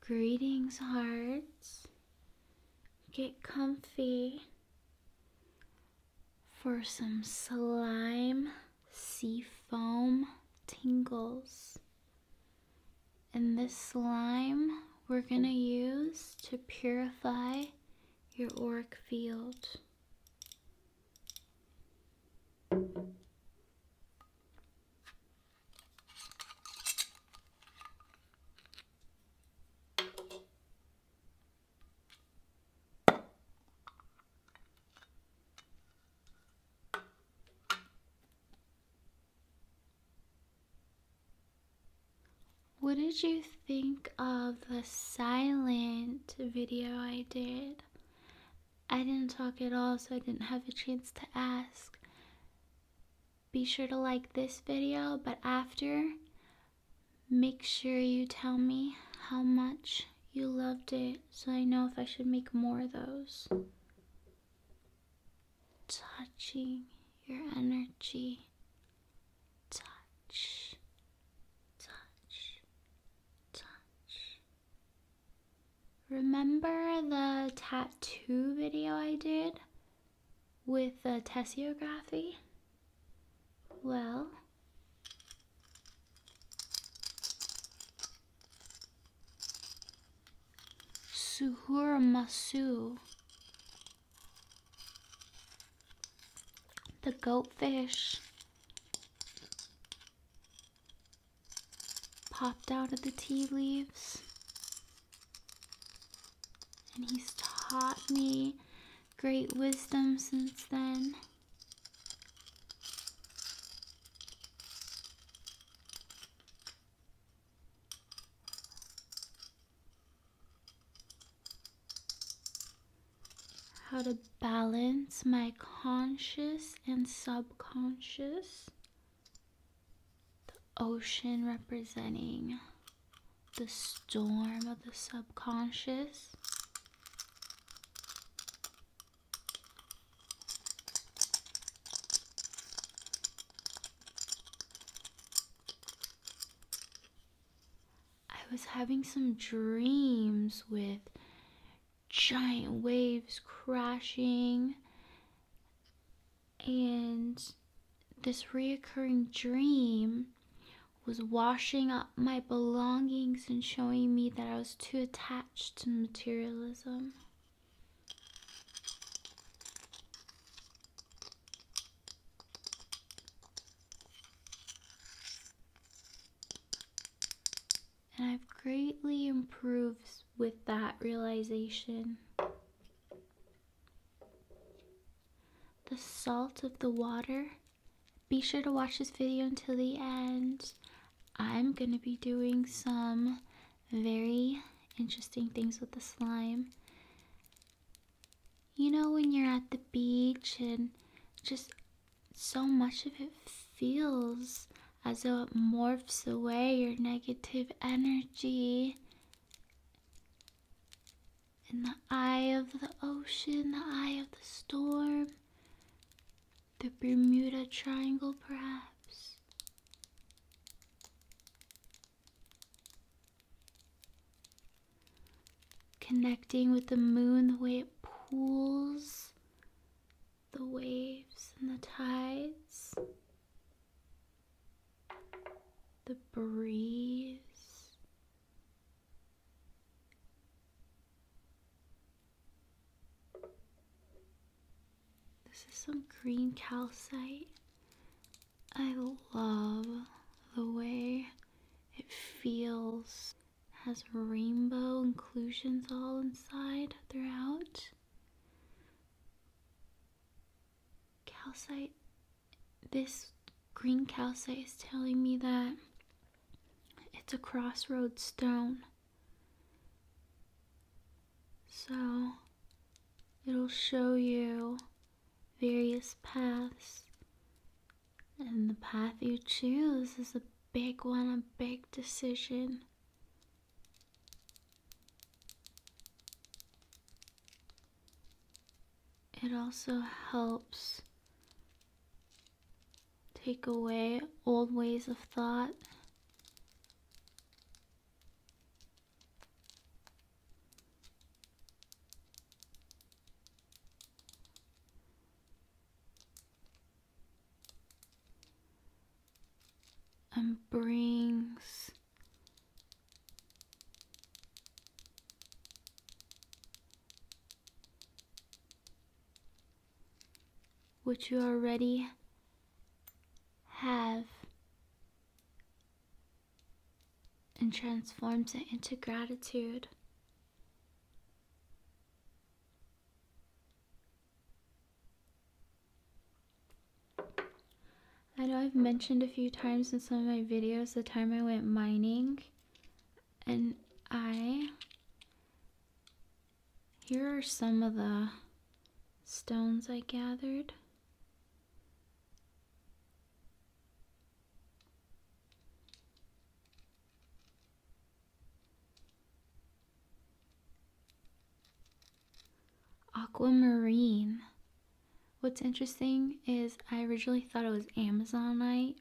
Greetings, hearts. Get comfy for some slime sea foam tingles. And this slime we're going to use to purify your auric field. What did you think of the silent video I did? I didn't talk at all, so I didn't have a chance to ask. Be sure to like this video, but after, make sure you tell me how much you loved it so I know if I should make more of those. Touching your energy. Touch, touch, touch, Remember the tattoo video I did with the tessiography? Well, Suhur Masu, the goatfish popped out of the tea leaves. And he's taught me great wisdom since then. How to balance my conscious and subconscious the ocean representing the storm of the subconscious. I was having some dreams with giant waves crashing and this reoccurring dream was washing up my belongings and showing me that I was too attached to materialism and I've greatly improved with that realization. The salt of the water. Be sure to watch this video until the end. I'm going to be doing some very interesting things with the slime. You know when you're at the beach and just so much of it feels as though it morphs away your negative energy. In the eye of the ocean, the eye of the storm, the Bermuda Triangle, perhaps. Connecting with the moon, the way it pools the waves and the tides, the breeze. This is some green calcite. I love the way it feels. has rainbow inclusions all inside throughout. Calcite, this green calcite is telling me that it's a crossroad stone. So it'll show you various paths. And the path you choose is a big one, a big decision. It also helps take away old ways of thought and um, brings what you already have and transforms it into gratitude. I know I've mentioned a few times in some of my videos the time I went mining and I here are some of the stones I gathered Aquamarine. What's interesting is I originally thought it was Amazonite.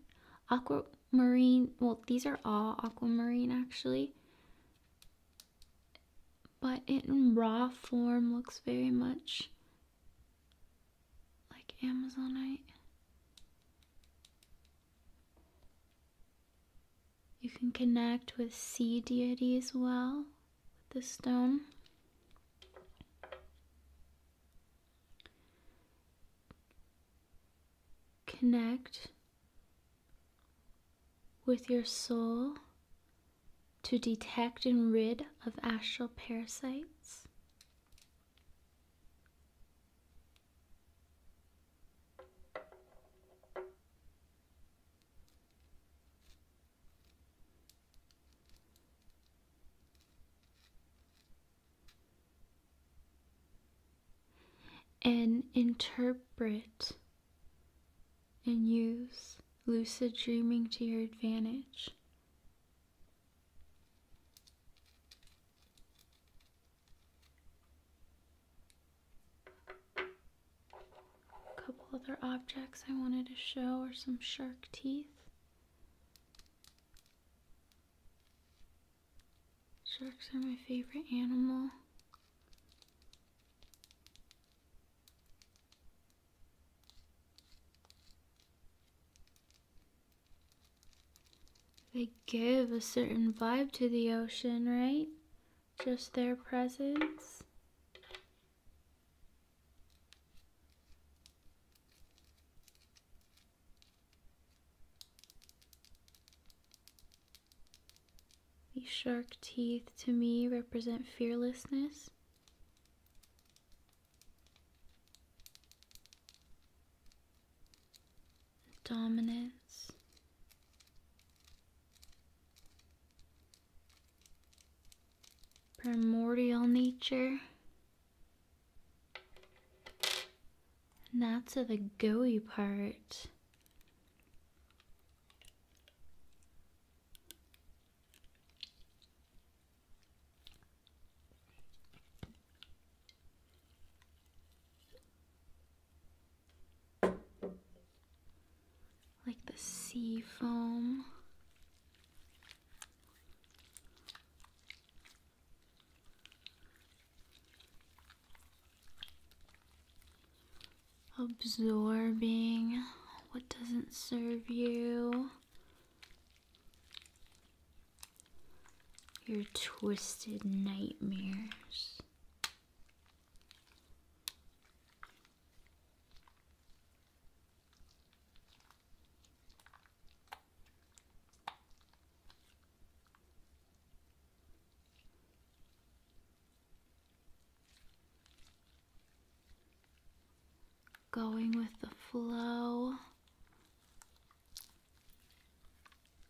Aquamarine, well, these are all aquamarine actually. But in raw form looks very much like Amazonite. You can connect with sea deity as well with this stone. Connect with your soul to detect and rid of astral parasites and interpret and use lucid dreaming to your advantage. A couple other objects I wanted to show are some shark teeth. Sharks are my favorite animal. They give a certain vibe to the ocean, right? just their presence. These shark teeth to me represent fearlessness dominance. Primordial nature. And that's of the goey part like the sea foam. Absorbing what doesn't serve you. Your twisted nightmares. Going with the flow.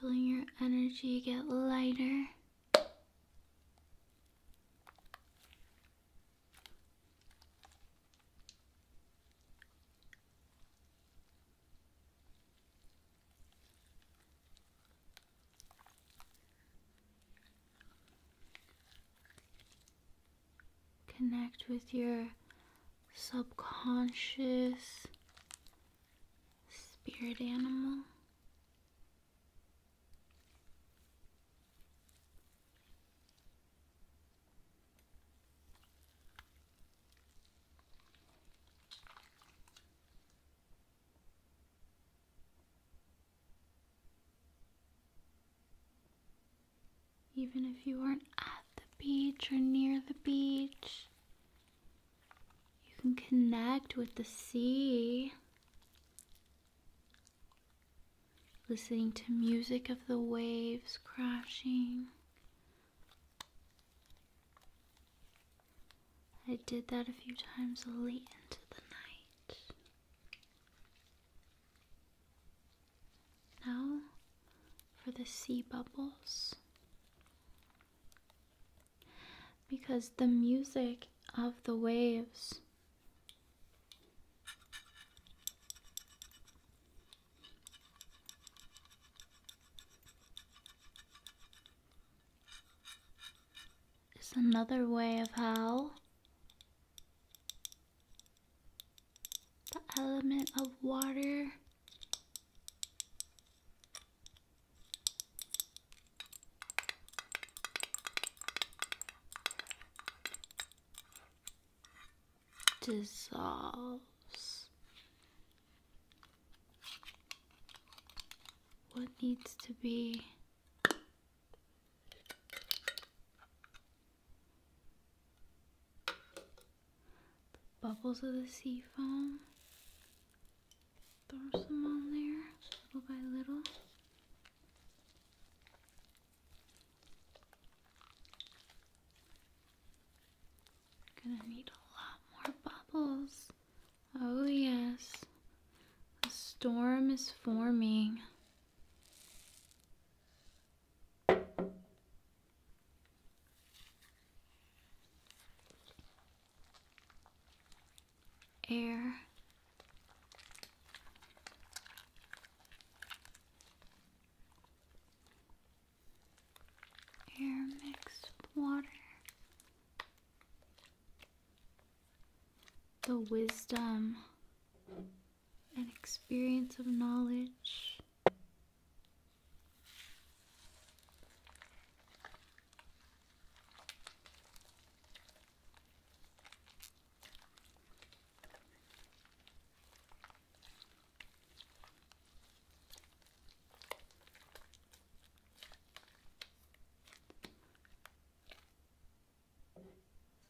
Feeling your energy get lighter. Connect with your subconscious spirit animal. Even if you are not at the beach or near the beach, you can connect with the sea, listening to music of the waves crashing. I did that a few times late into the night. Now for the sea bubbles because the music of the waves is another way of how the element of water dissolves what needs to be bubbles of the sea foam. Throw some on there, little by little. Gonna need a lot more bubbles. Oh yes, the storm is forming air air mixed water the wisdom and experience of knowledge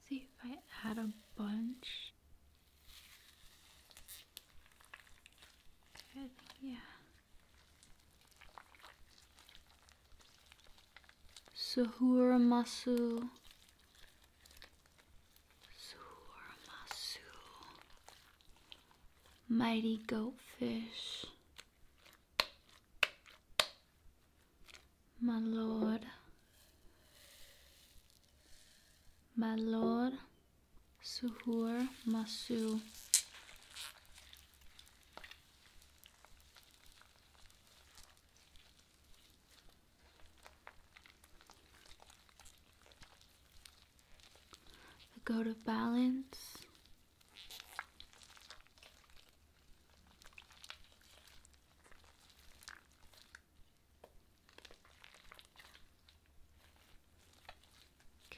See if I add a bunch. Good, yeah. Suhuramasu. Suhuramasu. Mighty goatfish. My lord. My lord. Suhoor Masu. Go to balance.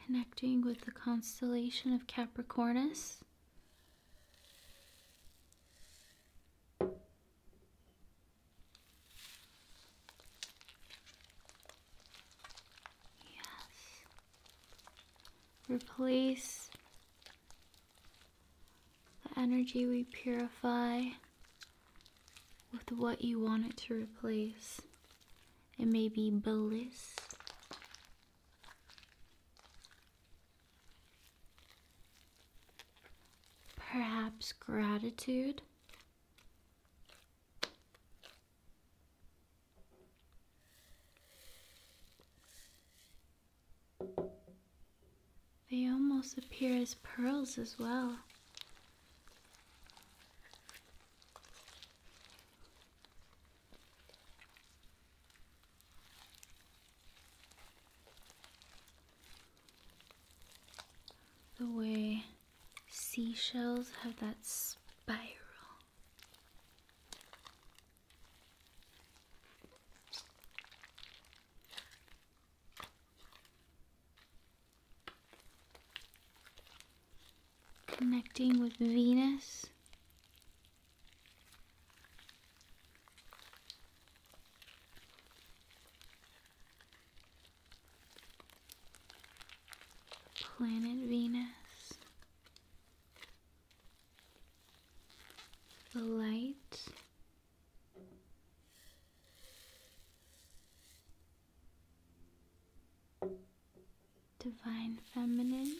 Connecting with the constellation of Capricornus. Yes. Replace the energy we purify with what you want it to replace. It may be Bliss. Perhaps gratitude. They almost appear as pearls as well. The way seashells have that spiral. Connecting with Venus. Planet Venus. The light. Divine Feminine.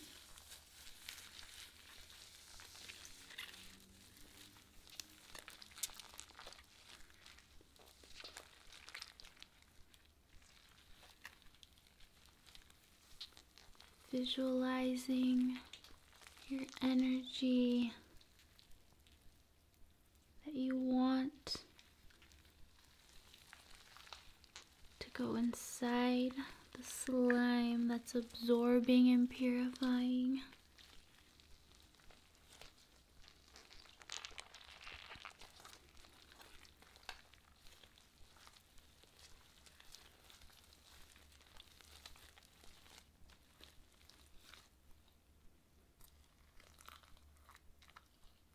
Visualizing your energy that you want to go inside the slime that's absorbing and purifying.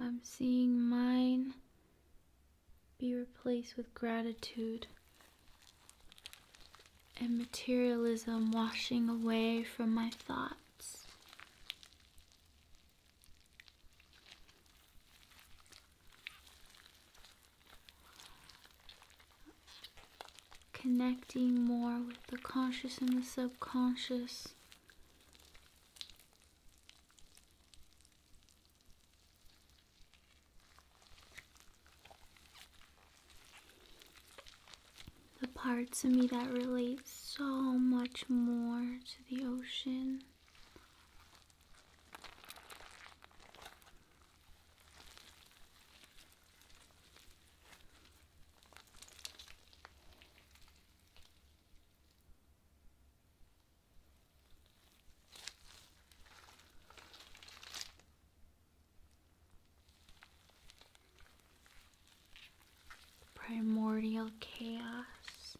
I'm seeing mine be replaced with gratitude and materialism washing away from my thoughts. Connecting more with the conscious and the subconscious. The parts of me that relate so much more to the ocean. Primordial chaos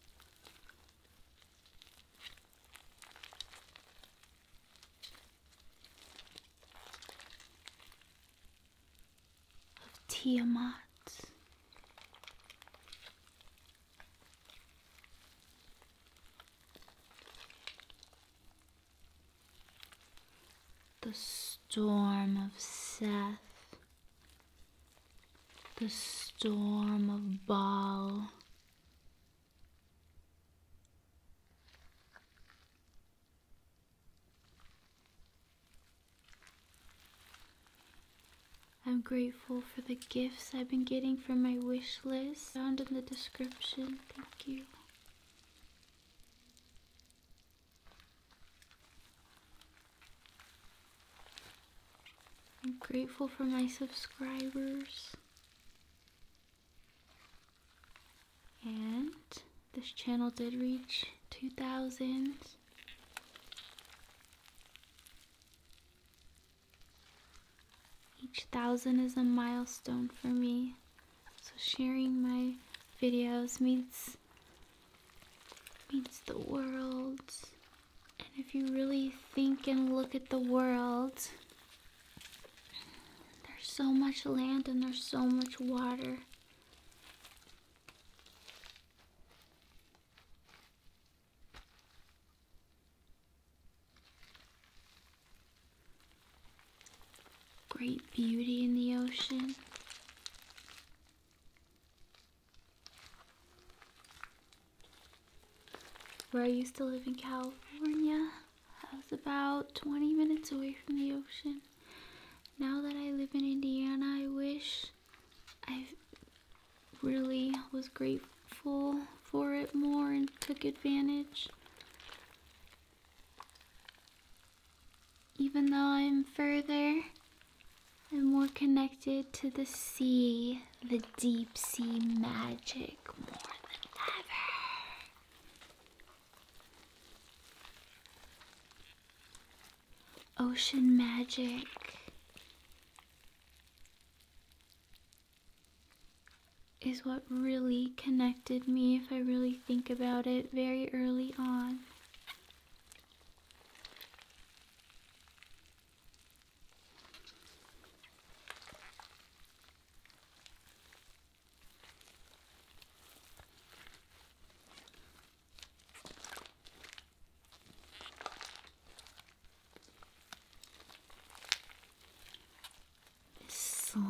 of Tiamat. The storm of Seth, the storm of Baal. I'm grateful for the gifts I've been getting from my wish list found in the description. Thank you. I'm grateful for my subscribers. And this channel did reach 2,000 each thousand is a milestone for me. So sharing my videos means means the world. And if you really think and look at the world, there's so much land and there's so much water. Great beauty in the ocean. Where I used to live in California, I was about 20 minutes away from the ocean. Now that I live in Indiana, I wish I really was grateful for it more and took advantage. Even though I'm further, and more connected to the sea, the deep sea magic more than ever ocean magic. Is what really connected me, if I really think about it, very early on. Slime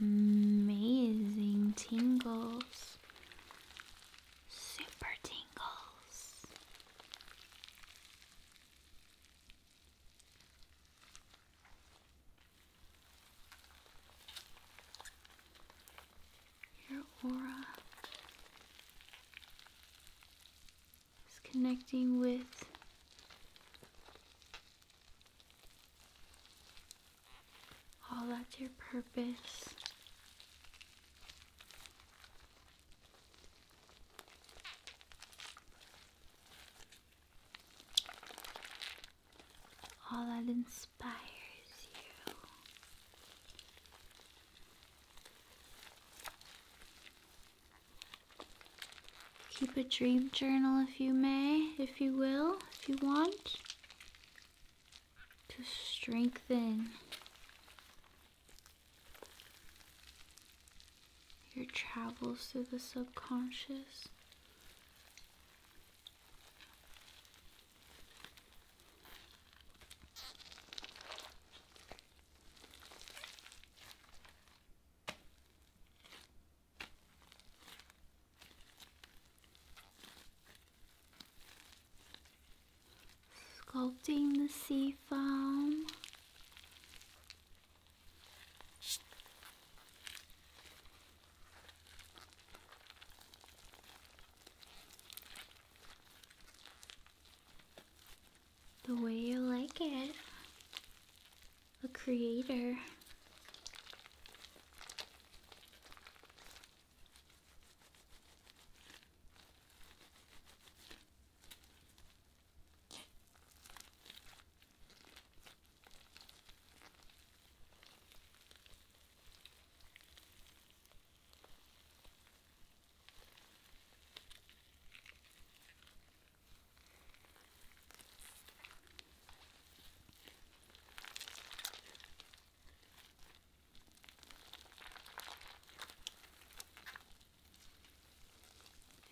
amazing tingles, super tingles your aura is connecting with all that's your purpose all that inspires you. Keep a dream journal if you may, if you will, if you want, to strengthen your travels through the subconscious. Sculpting the sea foam the way you like it. the creator.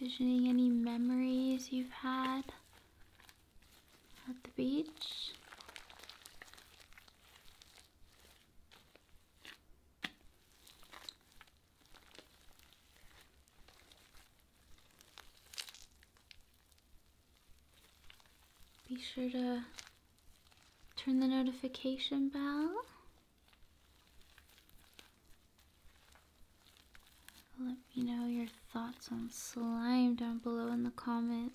Visioning any memories you've had at the beach. Be sure to turn the notification bell. Let me know your thoughts on slime down below in the comments.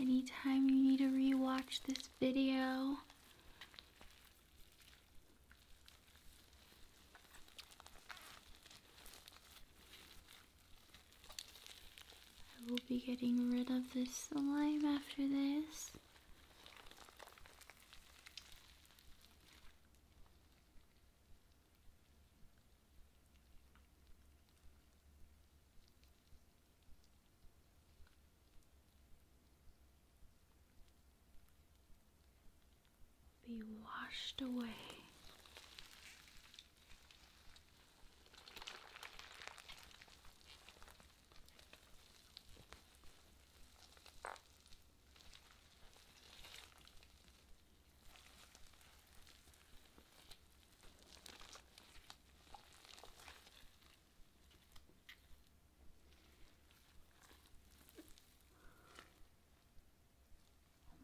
Anytime you need to rewatch this video, I will be getting rid of this slime after this. Be washed away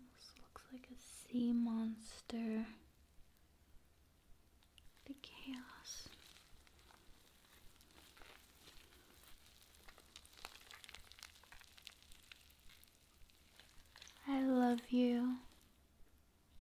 looks like a sea monster. The chaos. I love you.